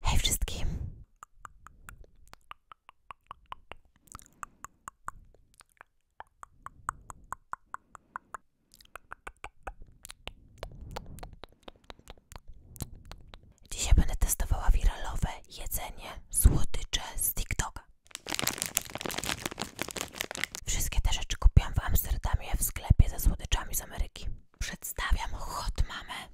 Hej wszystkim! Dzisiaj będę testowała wiralowe jedzenie, słodycze z TikToka. Wszystkie te rzeczy kupiłam w Amsterdamie w sklepie ze słodyczami z Ameryki. Przedstawiam hot mamę.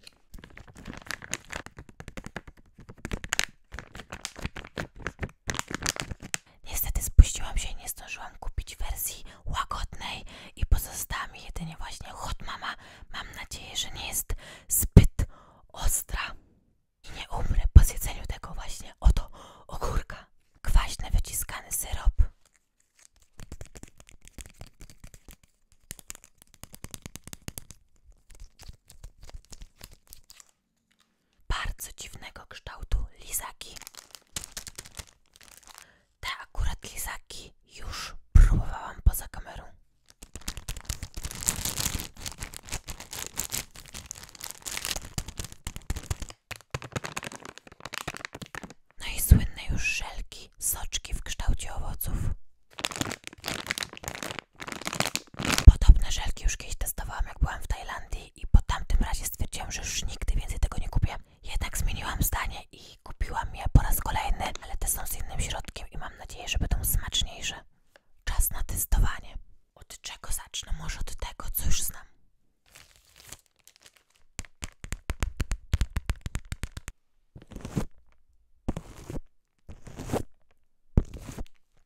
Niestety spuściłam się i nie zdążyłam kupić wersji łagodnej i pozostała mi jedynie właśnie hot mama. Mam nadzieję, że nie jest zbyt ostra i nie umrę po zjedzeniu tego właśnie oto ogórka. Kwaśny wyciskany syrop bardzo dziwnego kształtu lizaki. Te akurat lizaki już próbowałam poza kamerą. No i słynne już żelki, soczki w kształcie owoców. Podobne żelki już kiedyś testowałam, jak byłam w Tajlandii i po tamtym razie stwierdziłam, że już nigdy więcej tego nie kupię. Jednak zmieniłam zdanie i kupiłam je po raz kolejny, ale te są z innym środkiem i mam nadzieję, że będą smaczniejsze. Czas na testowanie. Od czego zacznę? Może od tego, co już znam.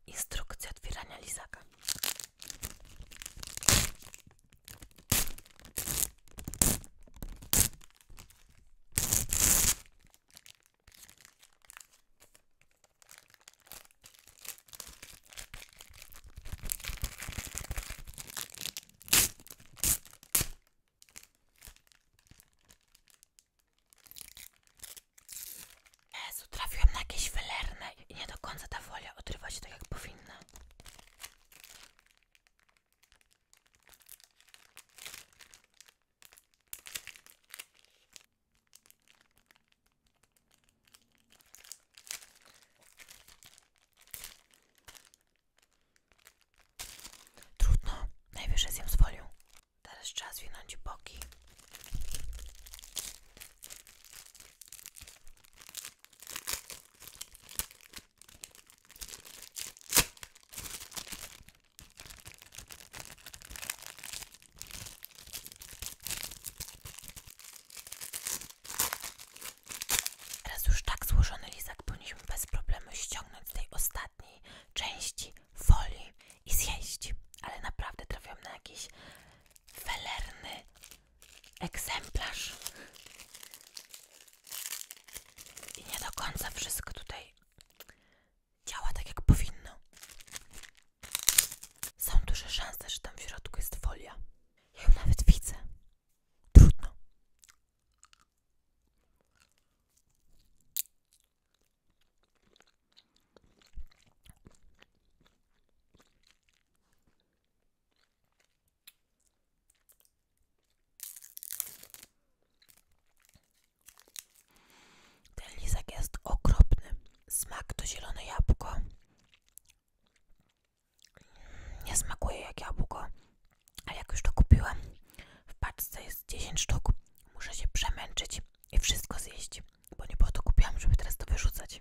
Instrukcja otwierania lizaka. Jezu, trafiłam na jakieś wylerne i nie do końca ta folia odrywa się tak jak powinna. Trudno, najwyżej zjem z folią. Teraz trzeba zwinąć boki. Teraz już tak złożony lizak powinniśmy bez problemu ściągnąć z tej ostatniej części folii i zjeść. Ale naprawdę trafiłam na jakiś felerny egzemplarz. I nie do końca wszystko tutaj działa tak jak powinno. Są duże szanse, że tam w środku jest folia. Ja ją nawet widzę. Trudno. Ten lizak jest okropny. Smak to zielone jabłko nie smakuje jak jabłko, a jak już to kupiłam, w paczce jest 10 sztuk, muszę się przemęczyć i wszystko zjeść, bo nie po to kupiłam, żeby teraz to wyrzucać.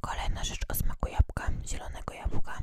Kolejna rzecz o smaku jabłka, zielonego jabłka.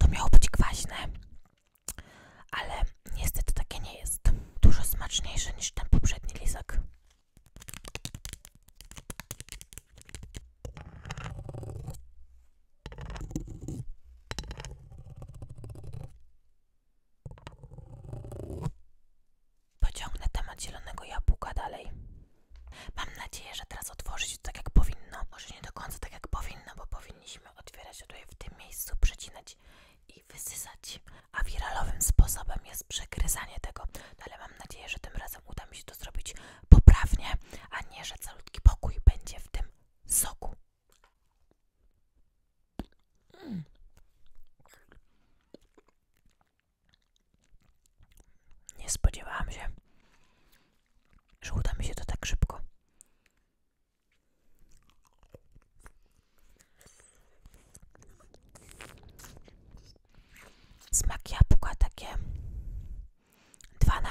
To miało być kwaśne, ale niestety takie nie jest. Dużo smaczniejsze niż ten poprzedni lisek. Pociągnę temat zielonego jabłka dalej. Mam nadzieję, że teraz otworzy się tak jak powinno. Może nie do końca tak jak powinno, bo powinniśmy otwierać tutaj w tym miejscu, przecinać i wysysać. A wiralowym sposobem jest przegryzanie tego. No ale mam nadzieję, że tym razem uda mi się to zrobić poprawnie, a nie, że calutki pokój będzie w tym soku. Mm. Nie spodziewałam się, że uda mi się to tak szybko. Smak jabłka takie 2 na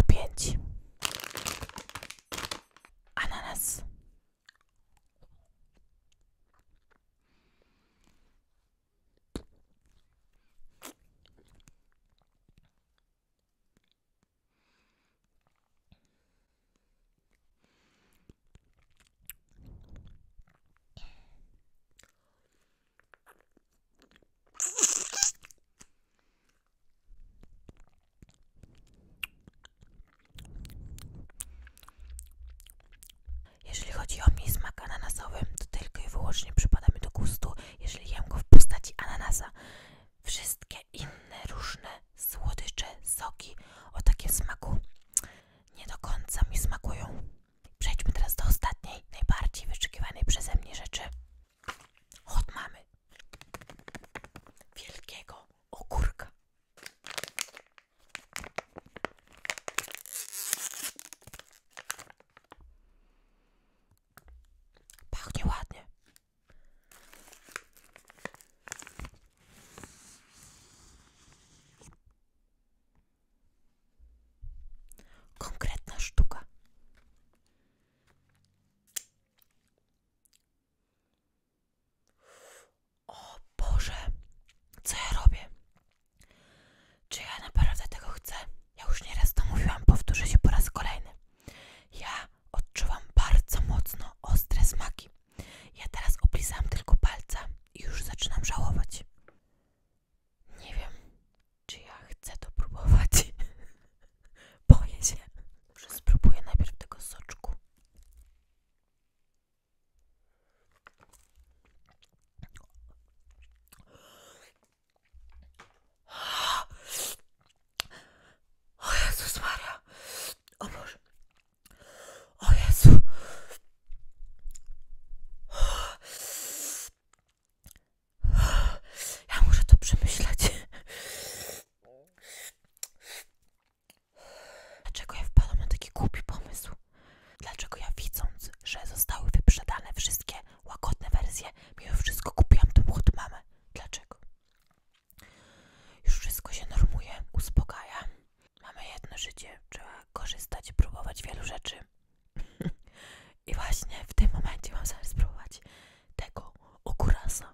Ananas jeżeli chodzi o mnie smak ananasowy, to tylko i wyłącznie przypada mi do gustu jeżeli jem go w postaci ananasa. Wszystkie inne różne słodycze, soki o takim smaku nie do końca mi smakują. Przejdźmy teraz do ostatniej, najbardziej wyczekiwanej przeze mnie rzeczy. Od mamy wielkiego ogórka. Pachnie ładnie. Konkretna sztuka. O Boże, co ja robię? Czy ja naprawdę tego chcę? Ja już nieraz to mówiłam, powtórzę się po raz kolejny. Ja odczuwam bardzo mocno ostre smaki. Ja teraz oblizam tylko palca i już zaczynam żałować. Nie wiem, czy ja chcę to próbować. Boję się. Może spróbuję najpierw tego soczku. O Jezus Maria. O Boże. Ja muszę to przemyśleć. Dlaczego ja wpadłam na taki głupi pomysł? Dlaczego ja widząc, że zostały wyprzedane wszystkie łagodne wersje, mimo wszystko kupiłam tą od mamy? Dlaczego? Już wszystko się normuje, uspokaja. Mamy jedno życie, trzeba korzystać, próbować wielu rzeczy. I właśnie w tym momencie mam zamiar spróbować tego okurasa.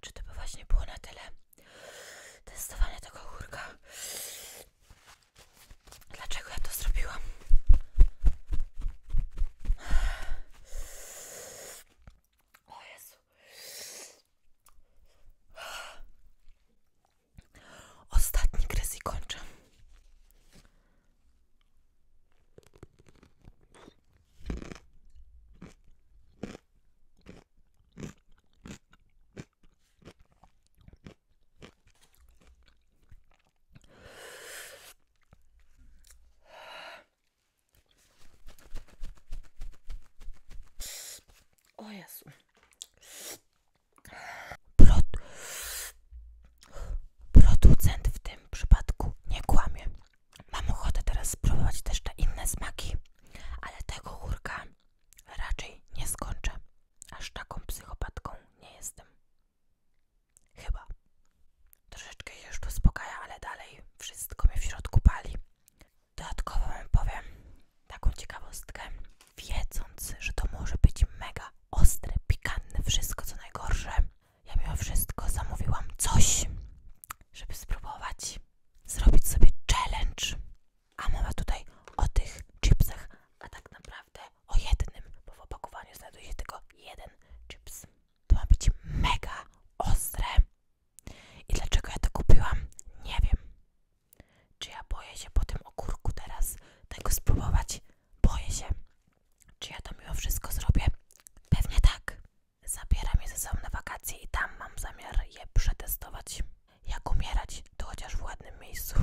Czy to by właśnie było na tyle testowanie tego ogórka? Dlaczego ja to zrobiłam? O Jezu. Ostatni kres i o Jezu. Pro... Producent w tym przypadku nie kłamie. Mam ochotę teraz spróbować też te inne smaki, ale tego chórka raczej nie skończę. Aż taką psychopatką nie jestem. Chyba. Troszeczkę się już uspokaja, ale dalej wszystko mnie w środku pali. Dodatkowo wam powiem taką ciekawostkę, wiedząc, że to może być mega ostre, pikantne, wszystko co najgorsze. Ja mimo wszystko zamówiłam coś, żeby spróbować zrobić sobie challenge. A mowa tutaj o tych chipsach, a tak naprawdę o jednym, bo w opakowaniu znajduje się tylko jeden chips. To ma być mega ostre, i dlaczego ja to kupiłam? Nie wiem. Czy ja boję się po tym okurku teraz tego spróbować? Boję się. Czy ja to mimo wszystko zrobię? Pewnie tak. Zabieram je ze sobą na wakacje i tam mam zamiar je przetestować. Jak umierać, to chociaż w ładnym miejscu.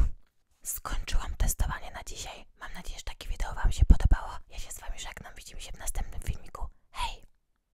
Skończyłam testowanie na dzisiaj. Mam nadzieję, że takie wideo Wam się podobało. Ja się z Wami żegnam. Widzimy się w następnym filmiku. Hej!